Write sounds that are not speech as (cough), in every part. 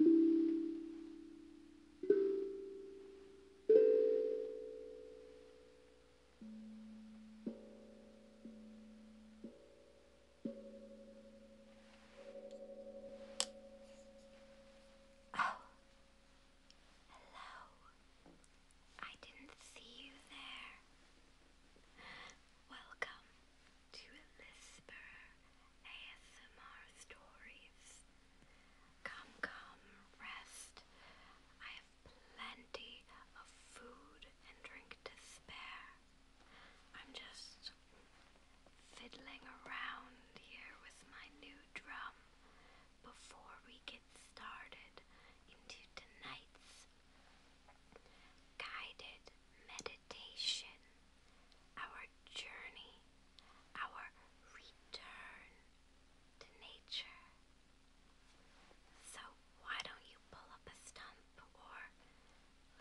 Oh, hello. I didn't see you there. Welcome to Lisper ASMR Stories. Come, come, rest. I have plenty of food and drink to spare. I'm just fiddling around here with my new drum before we get started into tonight's guided meditation our journey, our return to nature. So, why don't you pull up a stump or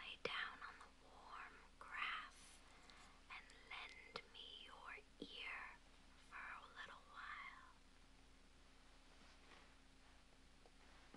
lay down on the warm grass and lend me your ear for a little while?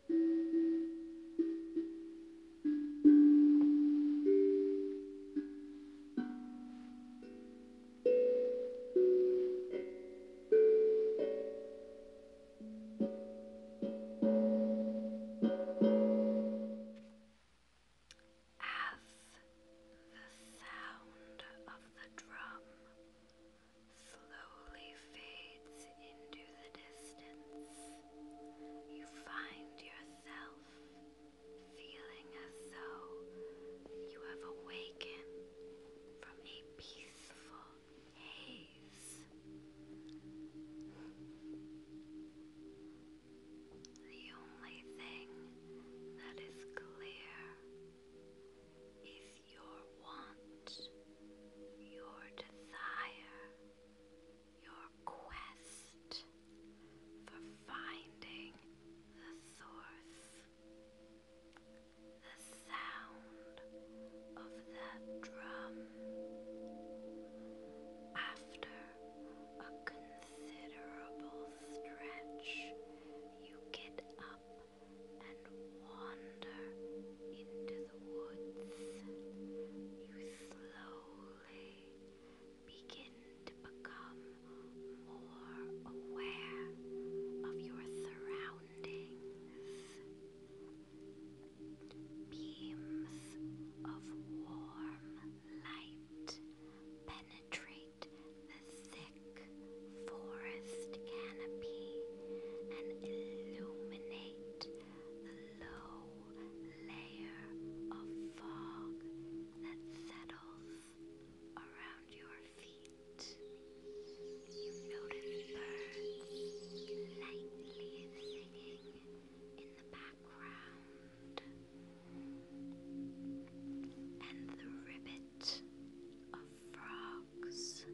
As the sound of the drum slowly fades into the distance, you find yourself feeling as though you have awakened from a peaceful haze. The only thing that is clear is your want, your desire your quest for finding the source. The sound of that drum after a considerable stretch you get up and wander into the woods, you slowly begin to become more aware of your surroundings. Beams of warm light penetrate the thick forest canopy and illuminate a low layer of fog that settles around your feet. You notice birds lightly singing in the background, and the ribbit of frogs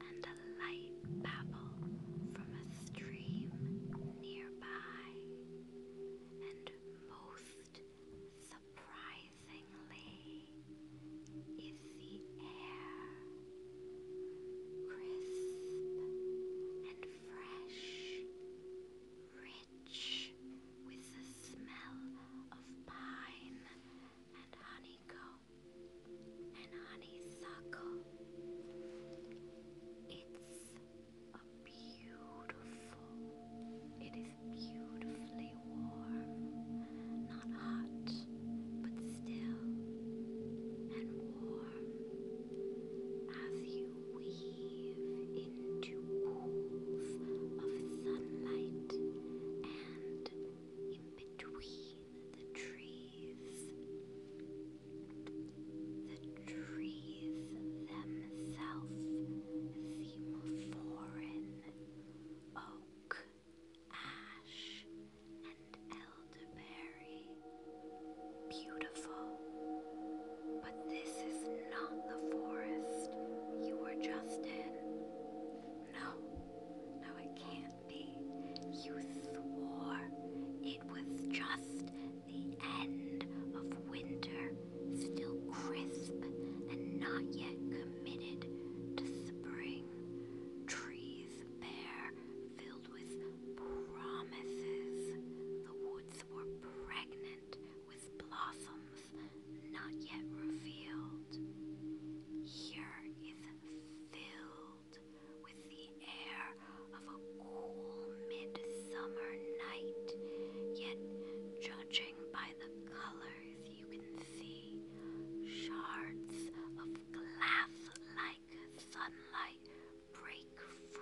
and a light babble from a stream nearby. And most surprisingly, is the air crisp and fresh, rich with the smell of pine and honeycomb and honeysuckle. It's a beautiful, it is beautifully warm, not hot, but still and warm as you weave into pools of sunlight and in between the trees trees. The trees themselves seem foreign. Oak, ash, and elderberry. Beautiful. But this is not the forest you were just in. No, no, it can't you swore it was just the end of winter, still crisp and not yet committed to spring. Trees bare, filled with promises. The woods were pregnant with blossoms not yet revealed. Here is filled with the air of a cool midsummer night, yet, judging by the colors you can see, shards of glass like sunlight break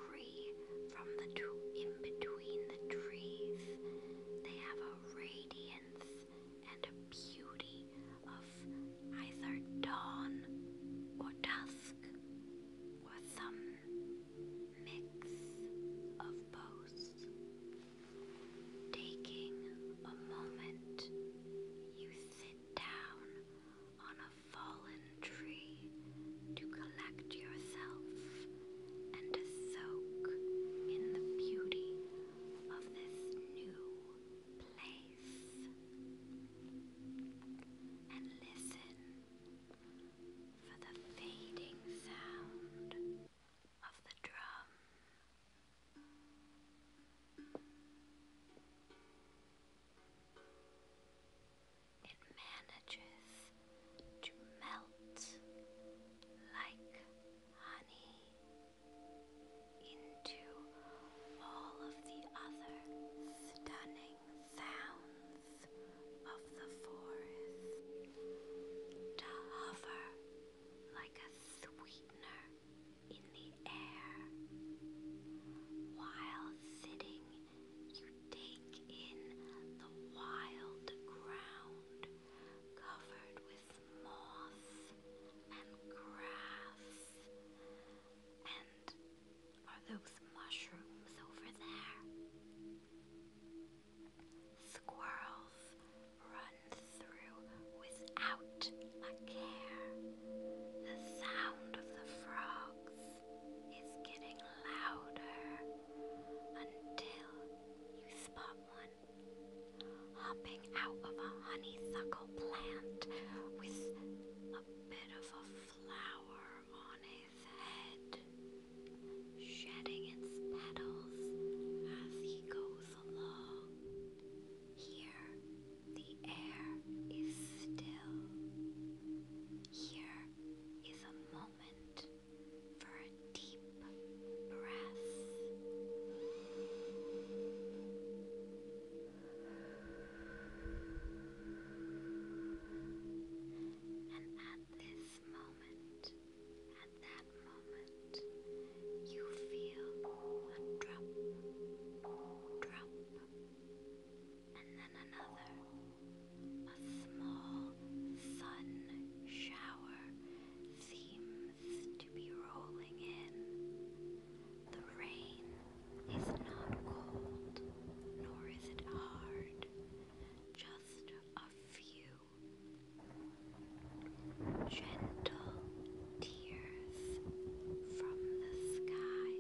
free from the two in between the trees. They have a radiance and a beauty of either dawn or dusk or some mix of both. Taking a moment, you sit down on a fallen tree to collect yourself and to soak in the beauty of this new place and listen for the fading sound of the drum. It manages to melt like honey into all of the other stunning sounds of the forest, to hover like a sweetener in the air. While sitting, you take in the wild ground covered with moss and grass and are those mushrooms over there? Squirrels run through without a care. The sound of the frogs is getting louder until you spot one hopping out of a honeysuckle plant with a bit of a flower on his head, shedding its petals as he goes along. Here, the air is still. Here is a moment for a deep breath. And at this moment, at that moment, you feel a drop, drop, and then another, a small sun shower seems to be rolling in. The rain is not cold, nor is it hard, just a few gentle tears from the sky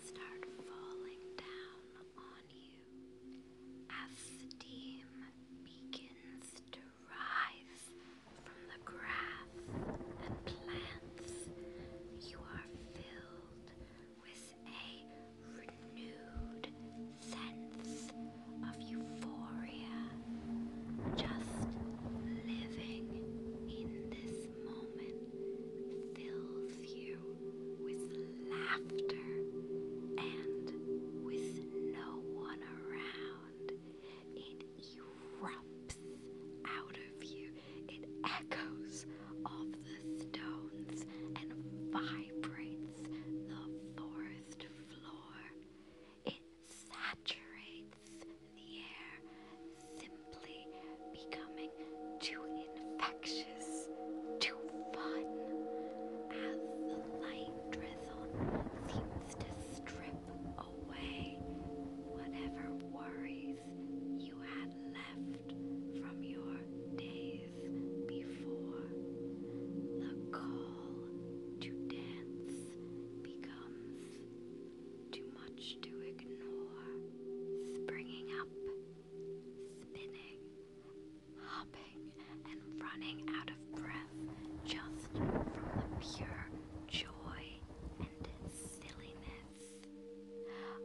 start falling down on you as steam begins to rise from the grass and plants, you are filled with a renewed sense of euphoria. Just living in this moment fills you with laughter and with no one around. It erupts out of you. It echoes off the stones and vibrates the forest floor. It saturates the air, simply becoming too infectious, too fun. As the light drizzle seems to strip away whatever worries you had left from your days before. The call to dance becomes too much to ignore. Springing up, spinning, hopping, and running out of breath just from the pure joy and silliness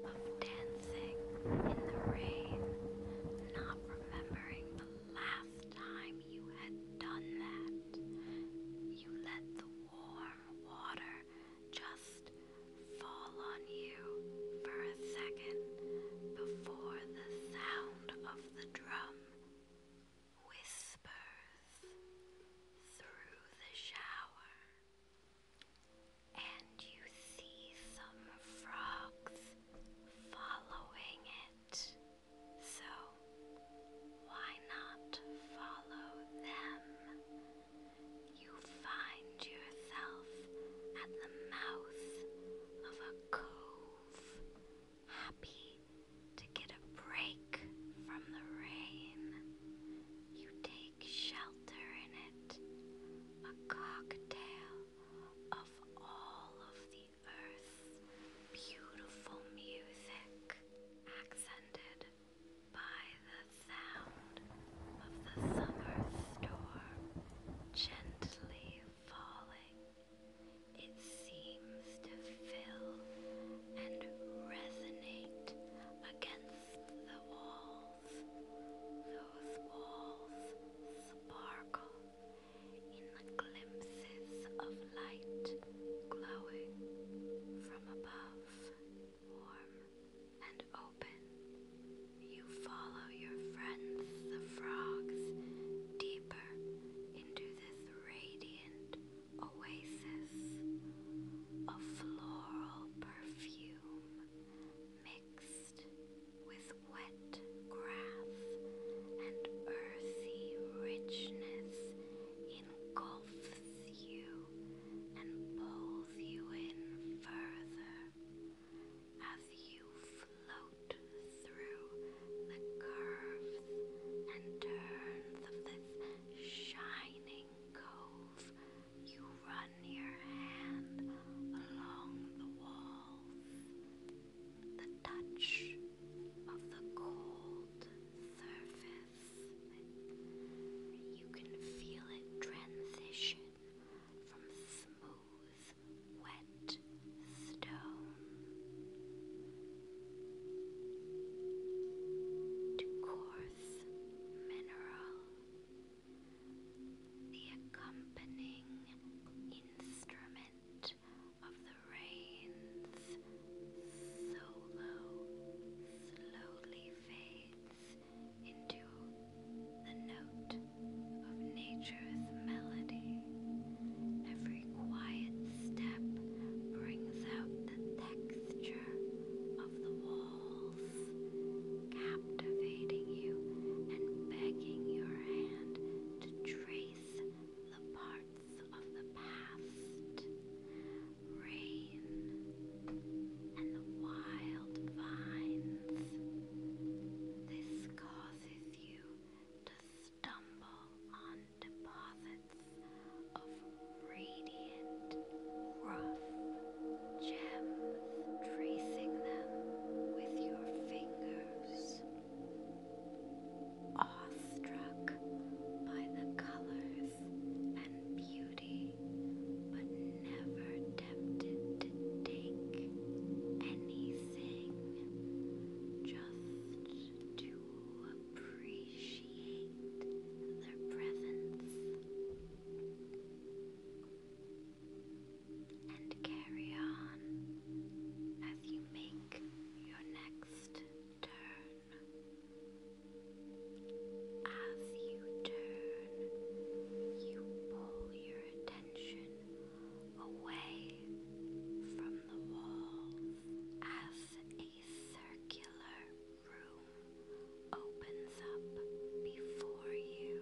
of dancing in the rain, not remembering the last time you had done that. You let the warm water just fall on you for a second before the sound of the drum whispers through the shower, and you see some frogs following it. So, why not follow them? You find yourself at the mouth of a cove, happy to get a break from the rain. You take shelter in it, a cocktail of all of the earth's beautiful music, accented by the sound of the summer storm gently falling seems to fill and resonate against the walls. Those walls sparkle in glimpses of light glowing from above. Warm and open, you follow your friends, the frogs, deeper into this radiant oasis of floral perfume mixed with wet grass and earthy richness engulfs you and pulls you in further as you float through the curves and turns of this shining cove. You run your hand along the walls. The touch of the cold surface. You can feel it transition from smooth, wet stone to coarse mineral. The accompanying instrument of the rain's solo slowly fades into the note of nature's melody. Every every quiet step brings out the texture of the walls, captivating you and begging your hand to trace the parts of the past. Rain and the wild vines. This causes you to stumble on deposits of radiant, rough gems, tracing them with your fingers. Awestruck by the colors and beauty, but never tempted to take anything, just to appreciate appreciate their presence and carry on as you make your next turn. As you turn, you pull your attention away from the walls as a circular room opens up before you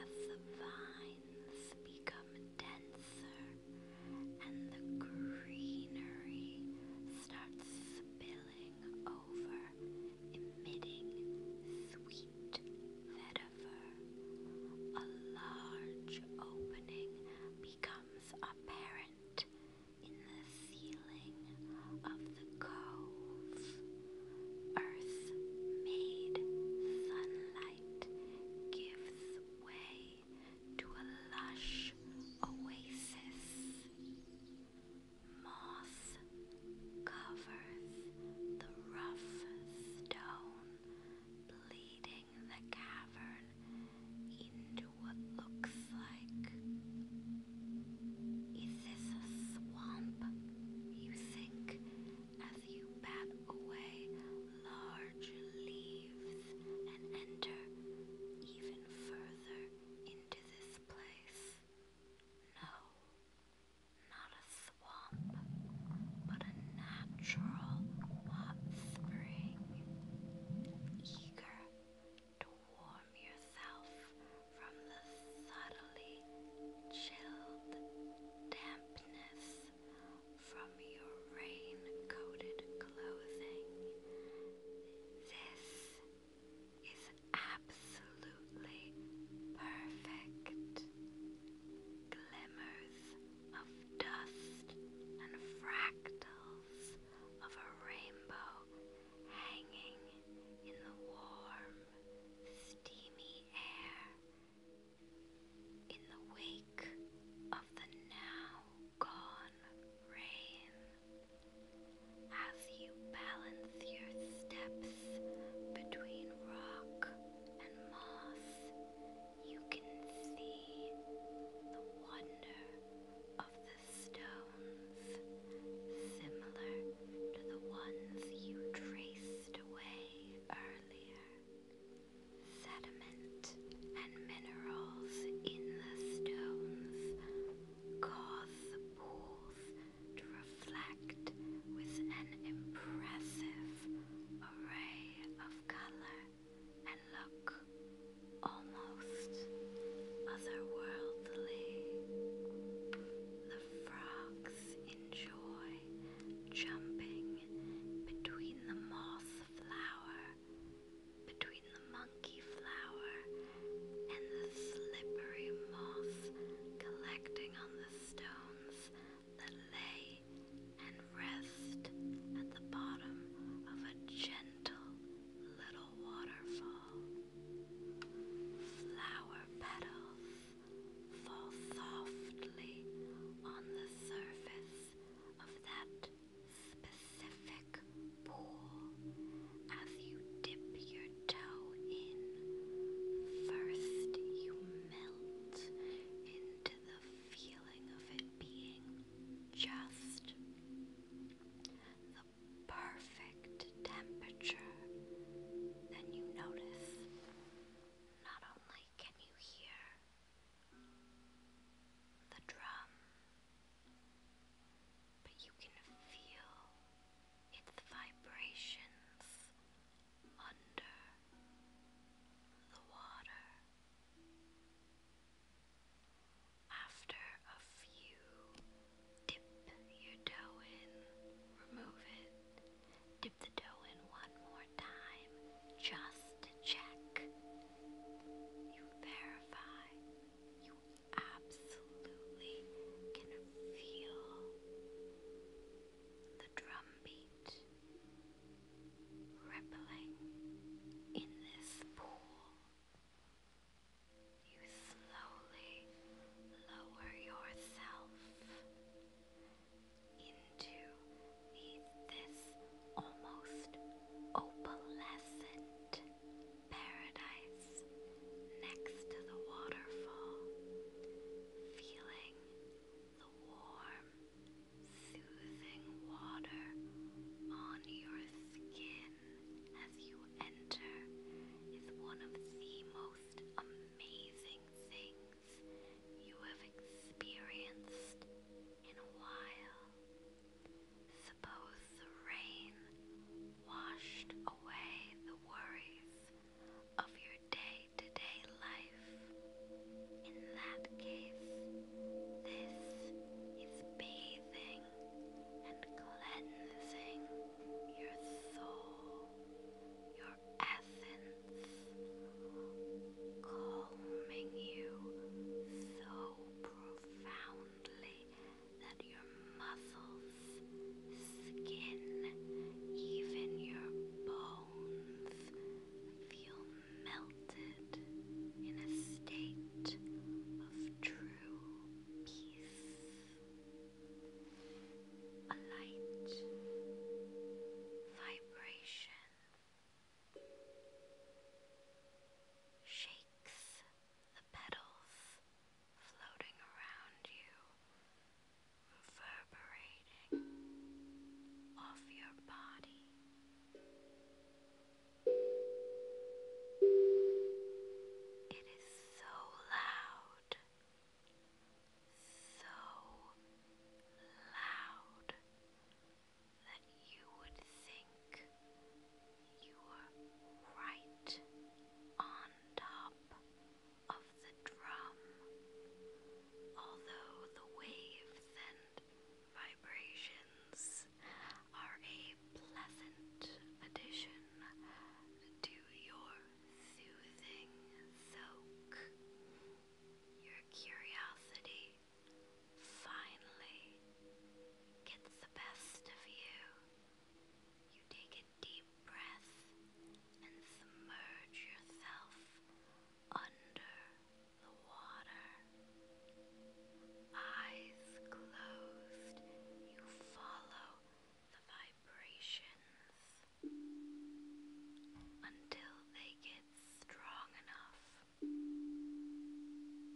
as the vines become denser and the greenery starts spilling over, emitting sweet vetiver. A large opening becomes apparent in the ceiling of the cove. Earth made sunlight gives way to a lush oasis. Moss covers the rough stone, bleeding the cavern into what looks like. Is this a swamp? You think as you bat away large leaves and enter even further into this place. No, not a swamp, but a natural hot spring eager to warm yourself from the subtly chilled dampness from your rain coated clothing. This is absolutely perfect. Glimmers of dust and fractals of a rainbow hanging in the warm, steamy air. In the wake of the now gone rain, as you balance your steps between rock and moss, you can see the wonder of the stones, similar to the ones you traced away earlier. Sediment and minerals in the stones cause the pools to reflect with an impressive array of color and look almost otherworldly. The frogs enjoy jumping between the moss flower, between the monkey flower, and the slippery moss collecting on the stones that lay and rest at the bottom of a gentle little waterfall. Flower petals fall softly on the surface of that specific pool as you dip your toe in. First, you melt into the feeling of it being just the perfect temperature, then you notice not only can you hear the drum, but you can feel its vibrations under the water. After a few, dip your dough in, remove it, dip the dough in one more time just to check. You verify. You absolutely can feel the drum rippling in this pool. You slowly lower yourself into this almost opalescent paradise next to the waterfall, feeling the warm soothing water on your skin as you enter is one of the most amazing things you have experienced in a while. Suppose the rain washed away the worries of your day to day life. In that case, this is bathing and cleansing your soul, your essence, calming you so profoundly that your muscles, skin, even your bones feel melted in a state of true peace. A light vibration shakes the petals floating around you, reverberating off your body. It is so loud, so loud that you would think you were right on top of the drum, although the waves and Vibrations are a pleasant addition to your soothing soak. Your curiosity finally gets the best of you. You take a deep breath and submerge yourself under the water. Eyes closed, you follow the vibrations until they get strong enough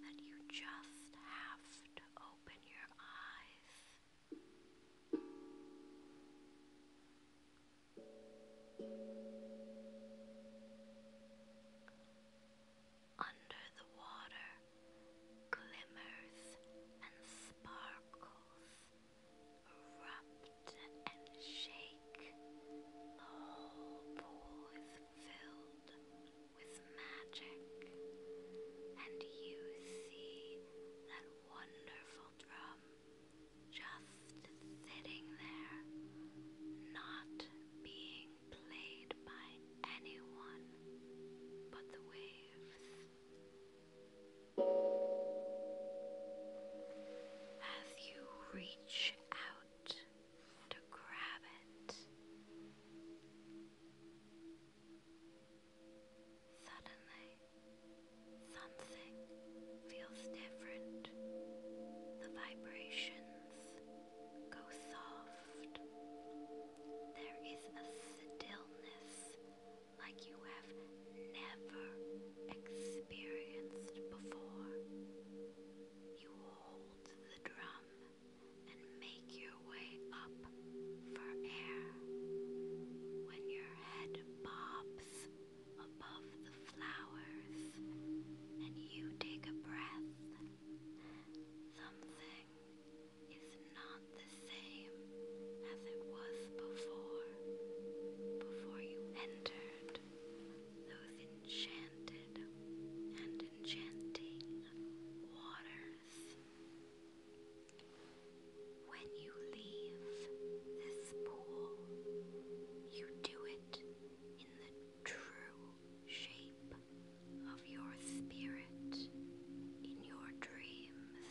that you just have to open your eyes. Under the water glimmers and sparkles, erupt and shake. The whole pool is filled with magic, and you see that wonderful drum just sitting there, not being played by anyone but the waves. As you reach out to grab it, suddenly Something feels different. The vibrations go soft. There is a stillness like you have never experienced before. You hold the drum and make your way up for air. When your head bobs above the flowers, and you take a breath, something is not the same as it was before, before you entered those enchanted and enchanting waters. When you leave this pool, you do in the true shape of your spirit, in your dreams,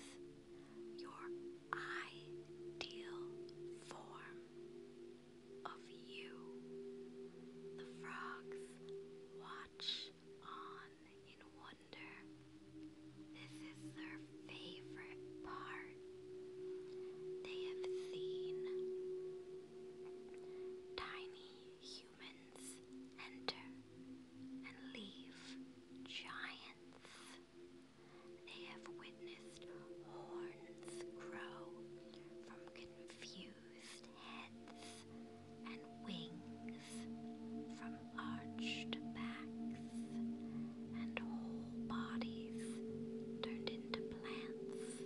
your ideal form of you. The frogs watch on in wonder. This is their favorite part they have seen tiny humans enter and leave giants. They have witnessed horns grow from confused heads and wings from arched backs and whole bodies turned into plants.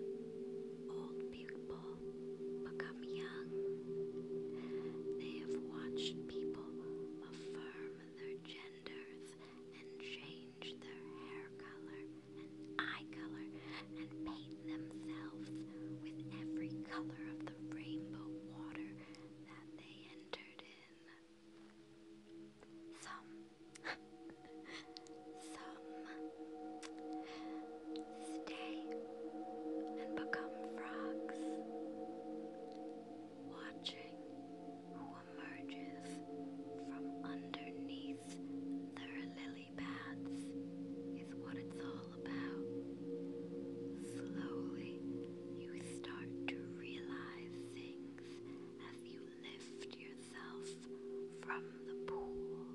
Old people become young. They have watched people affirm their genders and change their hair color and eye color and paint themselves with every color of the rainbow water that they entered in some (laughs) some stay and become frogs watching who emerges from underneath their lily pads is what it's all about. Slowly, you start to realize things as you lift your from the pool.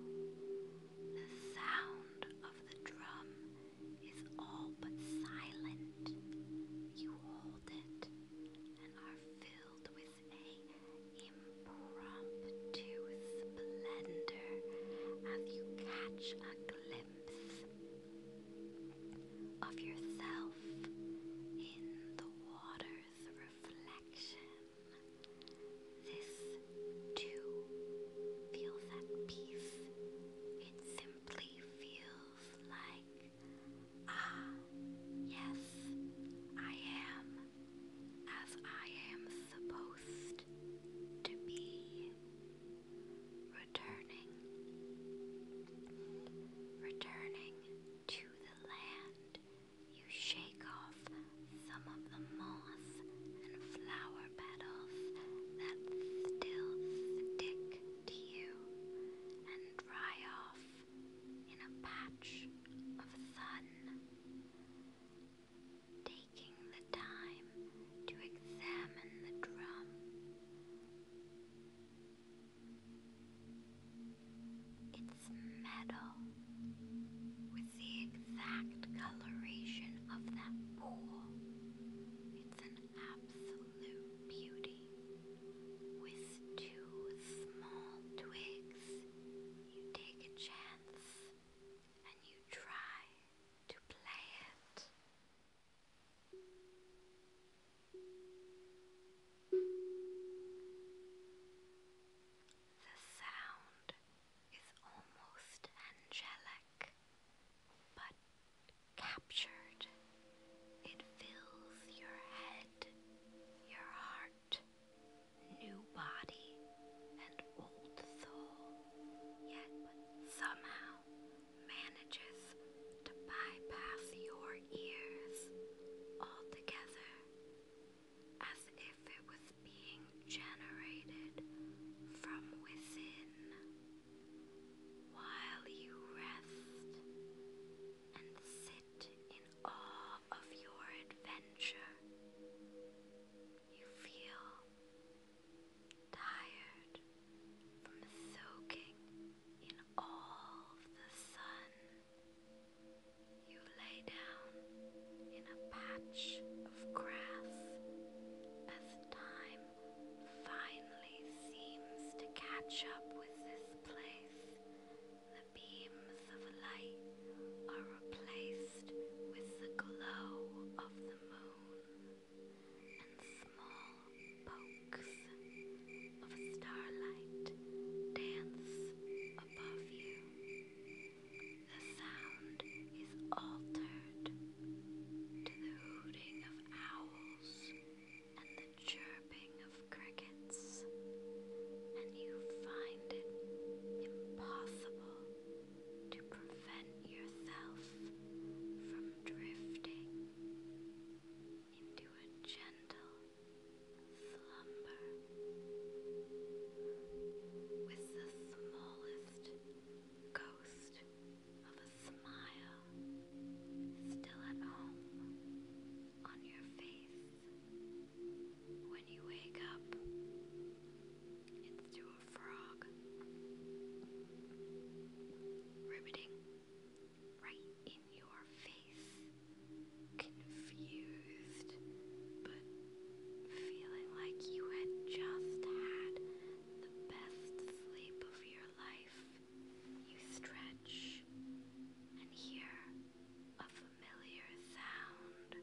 The sound of the drum is all but silent. You hold it and are filled with a impromptu splendor as you catch a glimpse of yourself in the water Earth reflection. This too feels at peace. It simply feels like, ah, yes, I am as I am supposed to be. Returning, returning to the land, you shake off some of the moss and flower petals that still stick to you and dry off in a patch of sun. Taking the time to examine the drum, it's metal with the exact coloration of that pool. It's an absolute beauty. With two small twigs, you take a chance and you try to play it. The sound is almost angelic, but captured. It fills your head, your heart, new body, and old soul, yet somehow manages to bypass your ears altogether as if it was being generated from within while you rest and sit in awe of your adventure. You feel tired from soaking in all the sun you lay down in a patch of grass as time finally seems to catch up with this place. The beams of light are replaced with the glow of the moon, and small pokes of starlight dance above you. The sound is altered to the hooting of owls and the chirping of crickets, and you find it impossible to prevent yourself from drifting into a gentle slumber with the smallest ghost of a smile still at home on your face. When you wake up, it's to a frog. Riveting right in your face. Confused, but feeling like you had just had the best sleep of your life. You stretch and hear a familiar sound.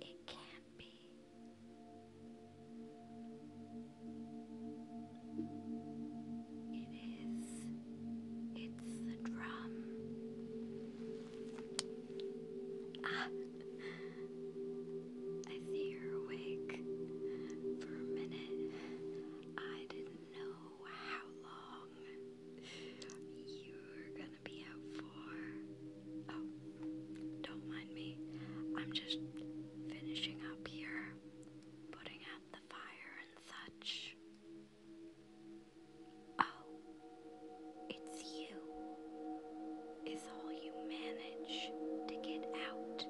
It can't be. It is, it's the drum. Ah, I see you're awake. For a minute, I didn't know how long you were gonna be out for. Oh, don't mind me. I'm just finishing up here putting out the fire and such. Oh, it's you, is all you manage to get out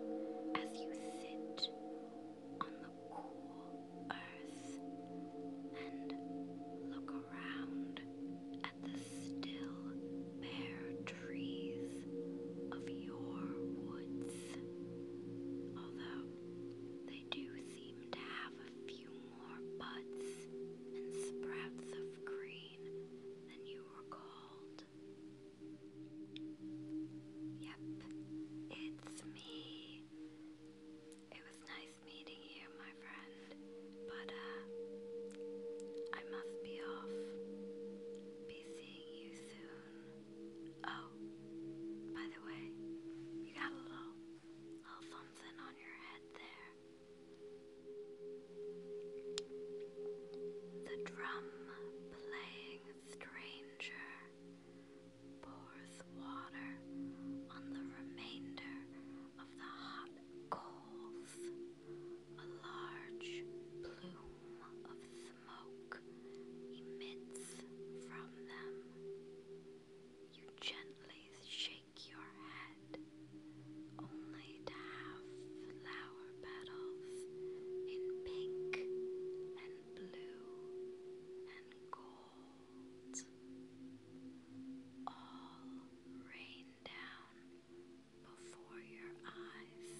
as you sit on the cool earth and look around at the still bare trees of your woods, although they do seem to have a few more buds and sprouts of green than you recalled. Yep, it's me. It was nice meeting you, my friend, but uh, I must be off. Be seeing you soon. Oh, by the way, you got a little, little something on your head there. The drum playing stranger pours water on the remainder of the hot coals. A large plume of smoke emits from them. You gently shake your head, only to have flower petals in pink and blue and gold all rain down before your eyes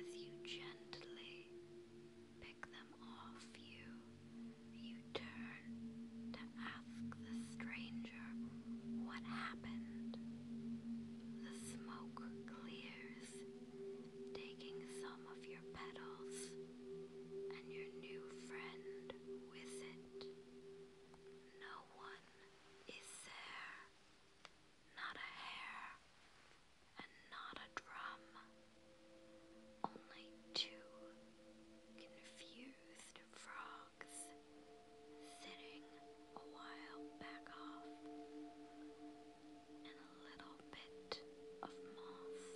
as you gently pick them off you. You turn to ask the stranger what happened. The smoke clears, taking some of your petals, and your new friend with it. No one is there not a hair, and not a drum. Only two confused frogs sitting a while back off, and a little bit of moss.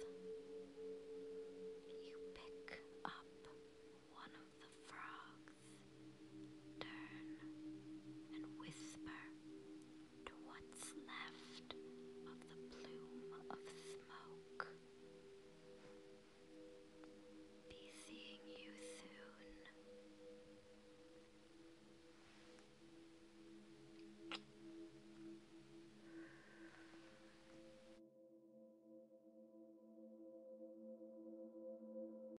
You pick up one of the frogs. Turn and whisper to what's left of the plume of smoke. Be seeing you soon.